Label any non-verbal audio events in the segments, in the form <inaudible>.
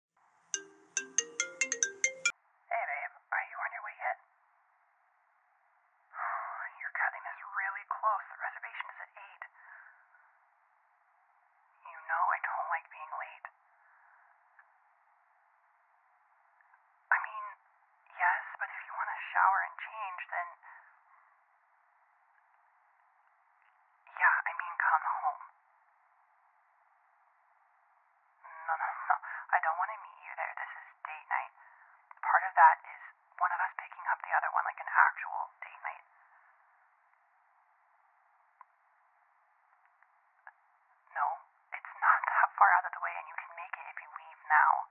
Hey, babe, are you on your way yet? <sighs> Your cutting this really close. The reservation is at 8. You know I don't like being late. I mean, yes, but if you want to shower and change, then. Yeah, I mean, come home. No, no, no. I don't want to meet you there. This is date night. Part of that is one of us picking up the other one like an actual date night. No, it's not that far out of the way, and you can make it if you leave now.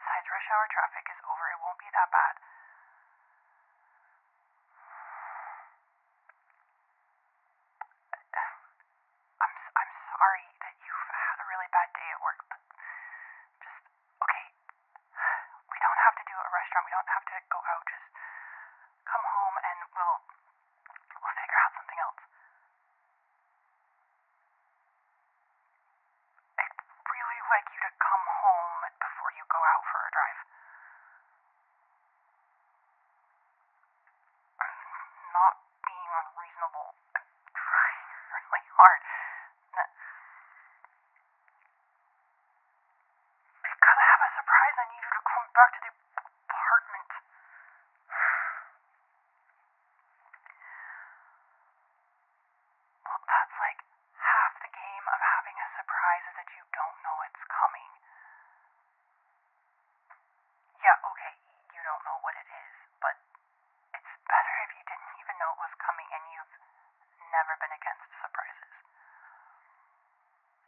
Besides, rush hour traffic is over. It won't be that bad. I'm I'm sorry that you've had a really bad day at work, but just okay. We don't have to do a restaurant. We don't have to go out. Just come home and we'll we'll figure out something else. I'd really like you to come home before you go out for a drive. I'm not being unreasonable. i trying really hard. Because I have a surprise, I need you to come back to the apartment. Well, that's like half the game of having a surprise is that you don't know it's coming. Yeah, okay, you don't know what it is, but it's better if you didn't even know it was coming and you've never been against surprises.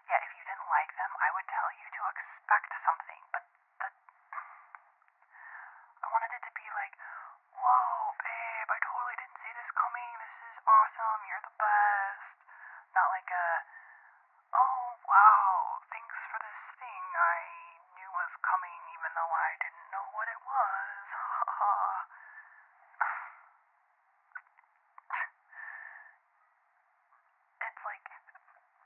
Yeah, if you didn't like them, I would tell you to expect something, but the. I wanted it to be like, whoa, babe, I totally didn't see this coming. This is awesome. You're the best. Not like a, oh wow, thanks for this thing I knew was coming even though I didn't know what it was. Ha <laughs> ha. It's like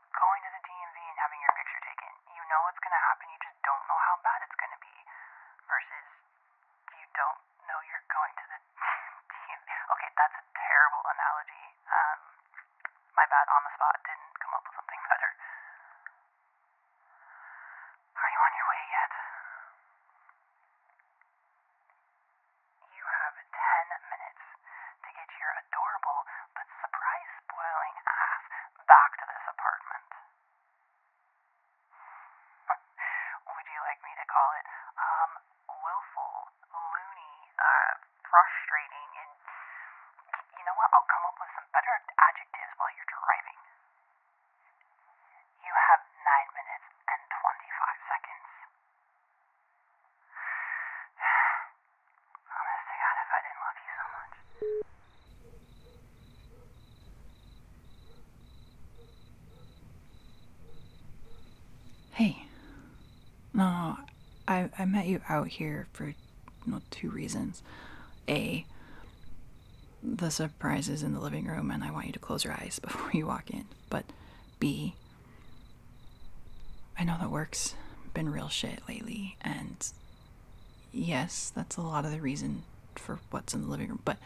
going to the DMV and having your picture taken. You know what's going to happen, you just don't know how bad it's going to be. Versus you don't know you're going to the <laughs> team. Okay, that's a terrible analogy. Um, my bad on the spot. Didn't come up with something <laughs> better. Are you on your way yet? You have 10 minutes to get your adorable but surprise spoiling ass back to this apartment. <laughs> Would you like me to call it, um, willful, loony, uh, frustrating, and you know what? I'll come up with some better adjectives while you're driving. You have 9 minutes and 25 seconds. <sighs> Honest to God, if I didn't love you so much. Hey. No, I, I met you out here for two reasons. A, the surprise is in the living room, and I want you to close your eyes <laughs> before you walk in. But B, I know that work's been real shit lately, and yes, that's a lot of the reason for what's in the living room, but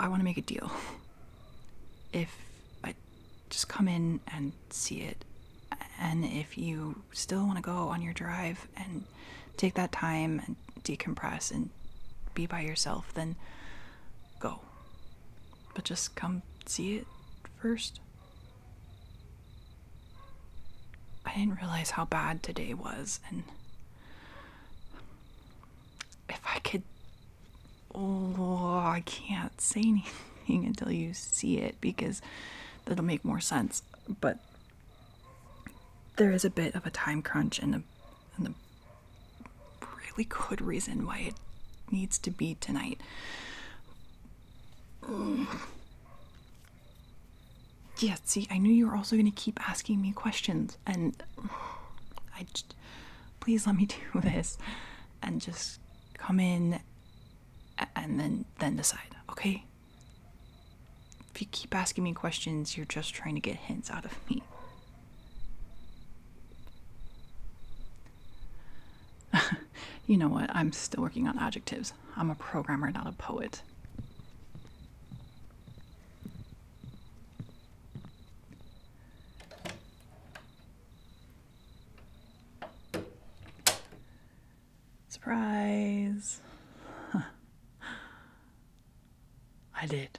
I want to make a deal. If I just come in and see it, and if you still want to go on your drive and take that time and decompress and be by yourself, then go. But just come see it first. I didn't realize how bad today was, and if I could. Oh, I can't say anything <laughs> until you see it because that'll make more sense. But there is a bit of a time crunch and a, really good reason why it needs to be tonight. Yeah, see, I knew you were also going to keep asking me questions, and I just, please let me <laughs> do this, and just come in, and then then decide, okay? If you keep asking me questions, you're just trying to get hints out of me. <laughs> you know what? I'm still working on adjectives. I'm a programmer, not a poet. Surprise! I did.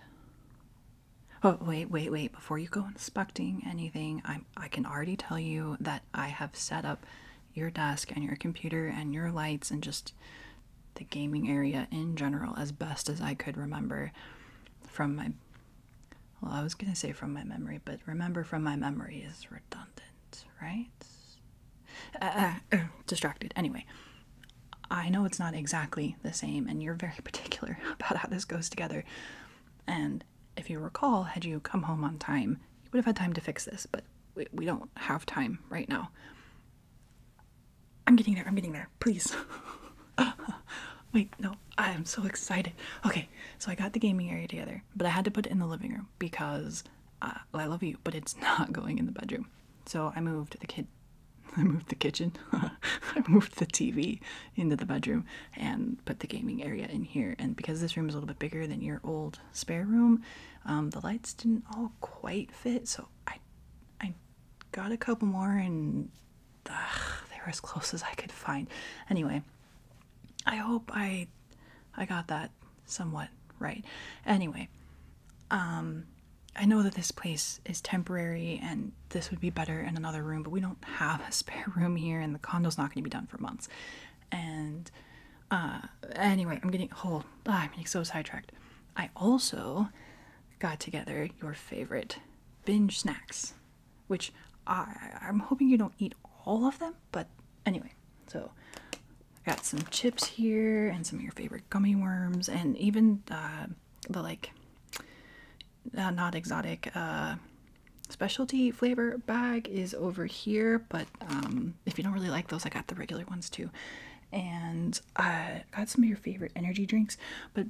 Oh wait, wait, wait! Before you go inspecting anything, I I can already tell you that I have set up your desk and your computer and your lights and just the gaming area in general as best as I could remember from my well, I was going to say from my memory, but remember from my memory is redundant, right? Uh, uh, <clears throat> distracted. Anyway, I know it's not exactly the same, and you're very <laughs> particular about how this goes together. And if you recall, had you come home on time, you would have had time to fix this, but we don't have time right now. I'm getting there. I'm getting there. Please. <laughs> Wait, no. I am so excited. Okay, so I got the gaming area together, but I had to put it in the living room because uh, I love you, but it's <laughs> not going in the bedroom. So I moved the kid. <laughs> I moved the kitchen. I moved the TV into the bedroom and put the gaming area in here. And because this room is a little bit bigger than your old spare room, um, the lights didn't all quite fit, so I I got a couple more, and they were as close as I could find. Anyway, I hope I I got that somewhat right. Anyway, um, I know that this place is temporary, and this would be better in another room, but we don't have a <laughs> spare room here, and the condo's not going to be done for months and uh, anyway, I'm getting hold. Oh, I'm getting so sidetracked. I also got together your favorite binge snacks, which I I'm hoping you don't eat all of them, but anyway, so I got some chips here and some of your favorite gummy worms and even uh, the like uh, not exotic uh, specialty flavor bag is over here, but um if you don't really like those, I got the regular ones too. And I got some of your favorite energy drinks, but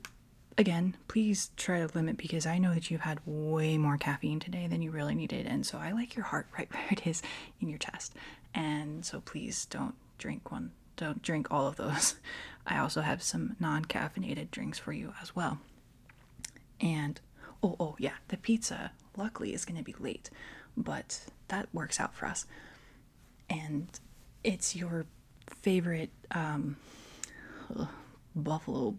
again, please try to limit because I know that you've had way more caffeine today than you really needed. And so I like your heart <laughs> right where it is in your chest. And so please don't drink one, don't drink all of those. <laughs> I also have some non caffeinated drinks for you as well. And oh, oh, yeah, the pizza luckily, it's going to be late, but that works out for us. And it's your favorite um, buffalo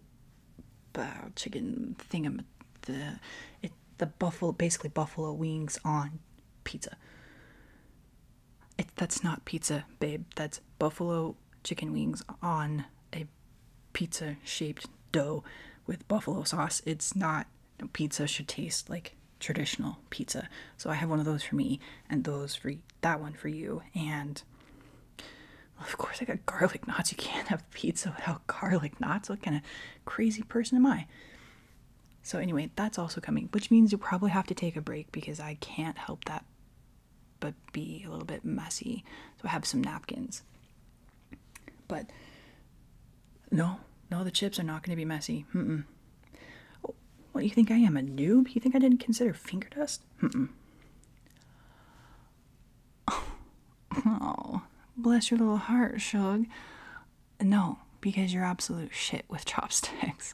uh, chicken thingam the it the buffalo basically buffalo wings on pizza. It that's not pizza, babe. That's buffalo chicken wings on a pizza shaped dough with buffalo sauce. It's not pizza should taste like traditional pizza. So I have one of those for me and those for that one for you. And of course I got garlic knots. You can't have pizza without garlic knots. What kind of crazy person am I? So anyway, that's also coming, which means you probably have to take a break because I can't help that but be a little bit messy. So I have some napkins. But no, no, the chips are not going to be messy. Mm-mm. what do you think I am, a noob? You think I didn't consider finger dust? Mm-mm. Oh, bless your little heart, Shug. No, because you're absolute shit with <laughs> chopsticks.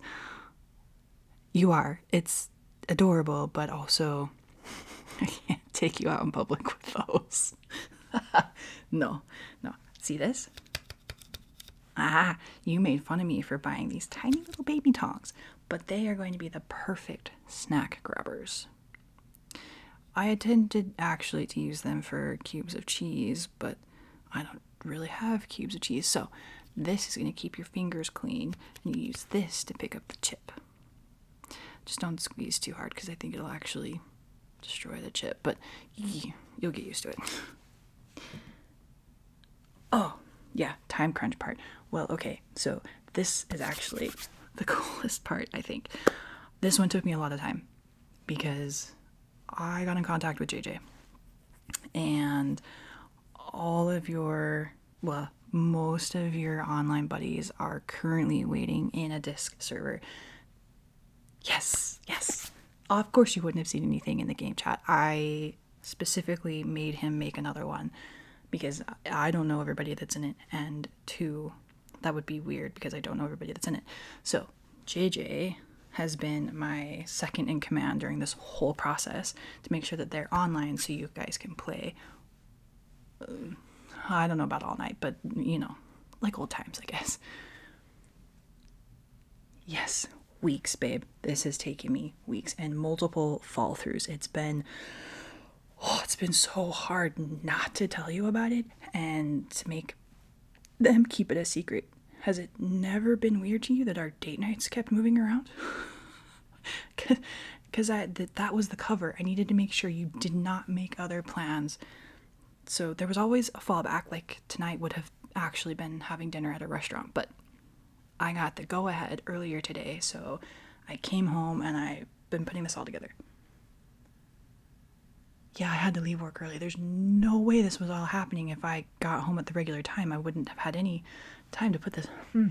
You are. It's adorable, but also <laughs> I can't take you out in public with those. <laughs> no, no. See this? Ah, you made fun of me for buying these tiny little baby tongs, but they are going to be the perfect snack grabbers. I intended actually to use them for cubes of cheese, but I don't really have cubes of cheese, so this is going to keep your fingers clean, and you use this to pick up the chip. Just don't squeeze too hard because I think it'll actually destroy the chip, but you'll get used to it. Oh, yeah, time crunch part. Well, okay, so this is actually the <laughs> coolest part, I think. This one took me a lot of time because I got in contact with JJ and all of your, well, most of your online buddies are currently waiting in a dis server. Yes, yes. Of course, you wouldn't have seen anything in the game chat. I specifically made him make another one because I don't know everybody that's in it, and two, that would be weird because I don't know everybody that's in it. So, JJ has been my second in command during this whole process to make sure that they're online so you guys can play I don't know about all night, but you know, like old times, I guess. Yes, weeks, babe. This has taken me weeks and multiple fall throughs. It's been oh, it's been so hard not to tell you about it and to make them keep it a secret. Has it never been weird to you that our date nights kept moving around? <laughs> because that that was the cover. I needed to make sure you did not make other plans. So there was always a fallback. Like tonight would have actually been having dinner at a restaurant, but I got the go ahead earlier today, so I came home and I've been putting this all together. Yeah, I had to leave work early. There's no way this was all happening if I got home at the regular time. I wouldn't have had any time to put this. Hmm.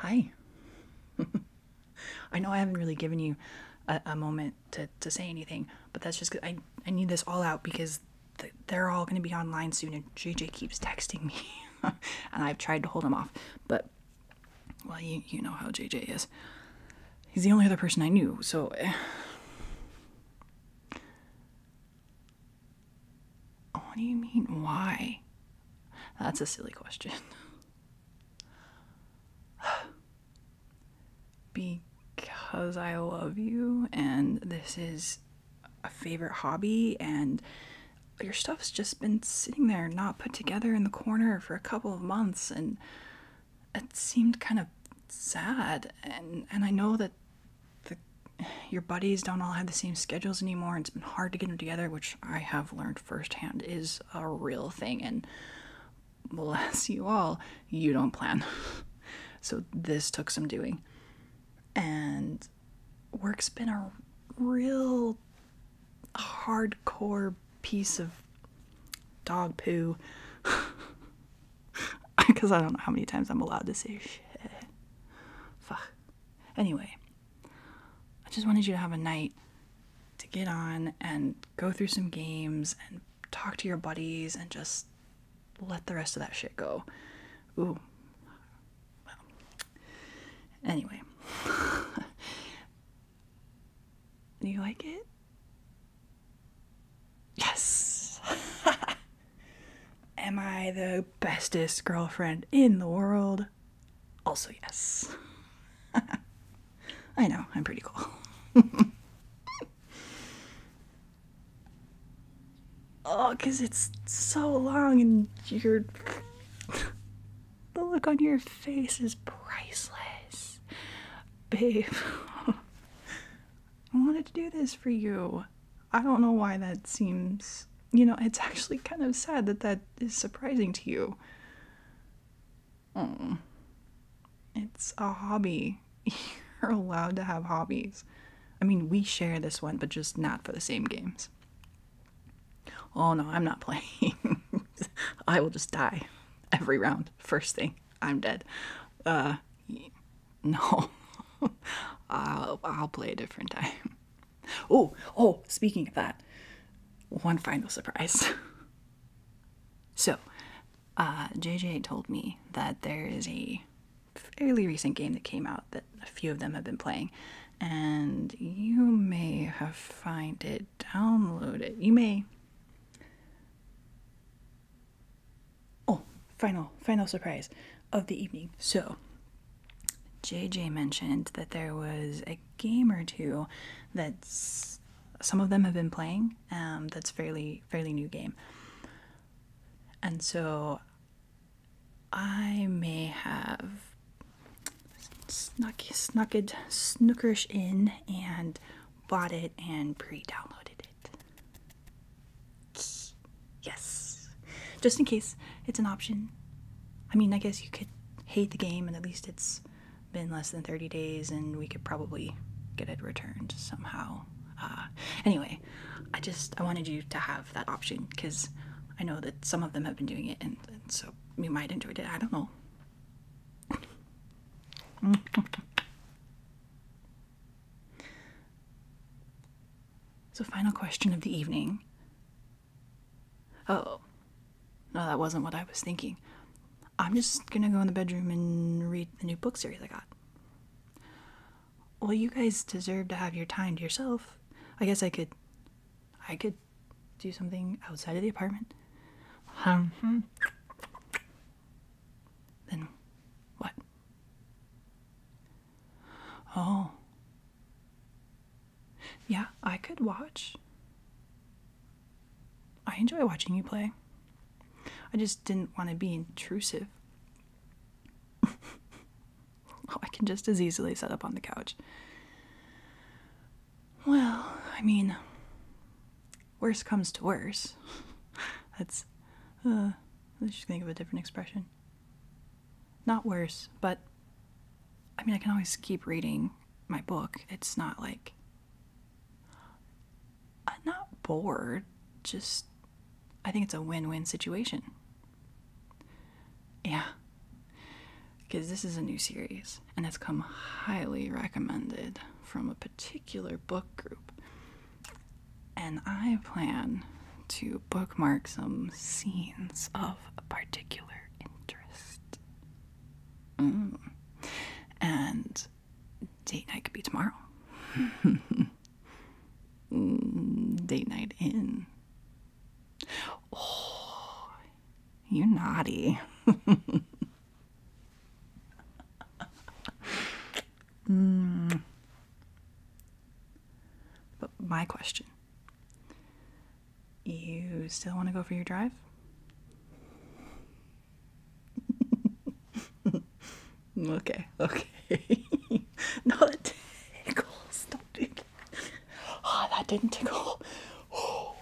Hi. <laughs> I know I haven't really given you a, moment to, to say anything, but that's just I I need this all out because they're all going to be online soon, and JJ keeps texting me, <laughs> and I've tried to hold him off, but well, you you know how JJ is. He's the only other person I knew, so. Eh. Oh, what do you mean, why? That's a silly question. <sighs> because I love you and this is a favorite hobby and your stuff's just been sitting there not put together in the corner for a couple of months and it seemed kind of sad and and I know that the your buddies don't all have the same schedules anymore. It's been hard to get them together, which I have learned firsthand is a real thing. And bless you all, you don't plan. so this took some doing. And work's been a real hardcore piece of dog poo. Because <laughs> I don't know how many times I'm allowed to say shit. Fuck. Anyway, I just wanted you to have a night to get on and go through some games and talk to your buddies and just let the rest of that shit go. Ooh. Well. Anyway. Do <laughs> you like it? Yes. <laughs> Am I the bestest girlfriend in the world? Also, yes. <laughs> I know, I'm pretty cool. <laughs> oh, because it's so long and your. <laughs> the look on your face is priceless. Babe, I wanted to do this for you. I don't know why that seems. You know, it's actually kind of sad that that is surprising to you. Mm. It's a hobby. <laughs> You're allowed to have hobbies. I mean, we share this one, but just not for the same games. Oh no, I'm not <laughs> playing. I will just die every round. First thing, I'm dead. Uh, no. <laughs> I'll play a different time. Oh, oh, speaking of that, one final surprise. <laughs> so, uh, JJ told me that there is a fairly recent game that came out that a few of them have been playing, and you may have found it downloaded. You may. Oh, final, final surprise of the evening. So, JJ mentioned that there was a game or two that some of them have been playing um, that's fairly fairly new game and so i may have snuck snuck snookerish in and bought it and pre-downloaded it Yes. Just in case it's an option. I mean, I guess you could hate the game, and at least it's been less than 30 days, and we could probably get it returned somehow. Uh, anyway, I just I wanted you to have that option because I know that some of them have been doing it, and, and so you might enjoy it. I don't know. <laughs> So, final question of the evening. Oh, no, that wasn't what I was thinking. I'm just gonna go in the bedroom and read the new book series I got. Well, you guys deserve to have your time to yourself. I guess I could, I could do something outside of the apartment. Um, hmm. then what? Oh. Yeah, I could watch. I enjoy watching you play. I just didn't want to be intrusive. <laughs> oh, I can just as easily sit up on the couch. Well, I mean, worse comes to worse. <laughs> That's, uh, let's just think of a different expression. Not worse, but I mean, I can always keep reading my book. It's not like. I'm uh, not bored, just. I think it's a win win situation. Yeah. Because this is a new series, and it's come highly recommended from a particular book group and I plan to bookmark some scenes of particular interest. Mm. And date night could be tomorrow. <laughs> Mm, date night in. Oh, You're naughty. <laughs> Hmm. But my question you still want to go for your drive? <laughs> okay, okay. <laughs> no, that tickles. Stop it. Oh, that didn't tickle. <gasps>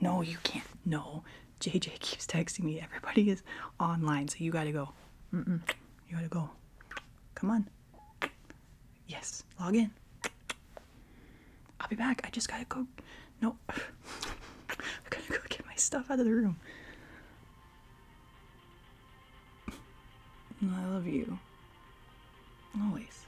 No, you can't. No. JJ keeps texting me. Everybody is online, so you gotta go. Mm-mm. You gotta go. Come on. Yes, log in. I'll be back. I just gotta go. No. <sighs> I gotta go get my stuff out of the room. I love you. Always.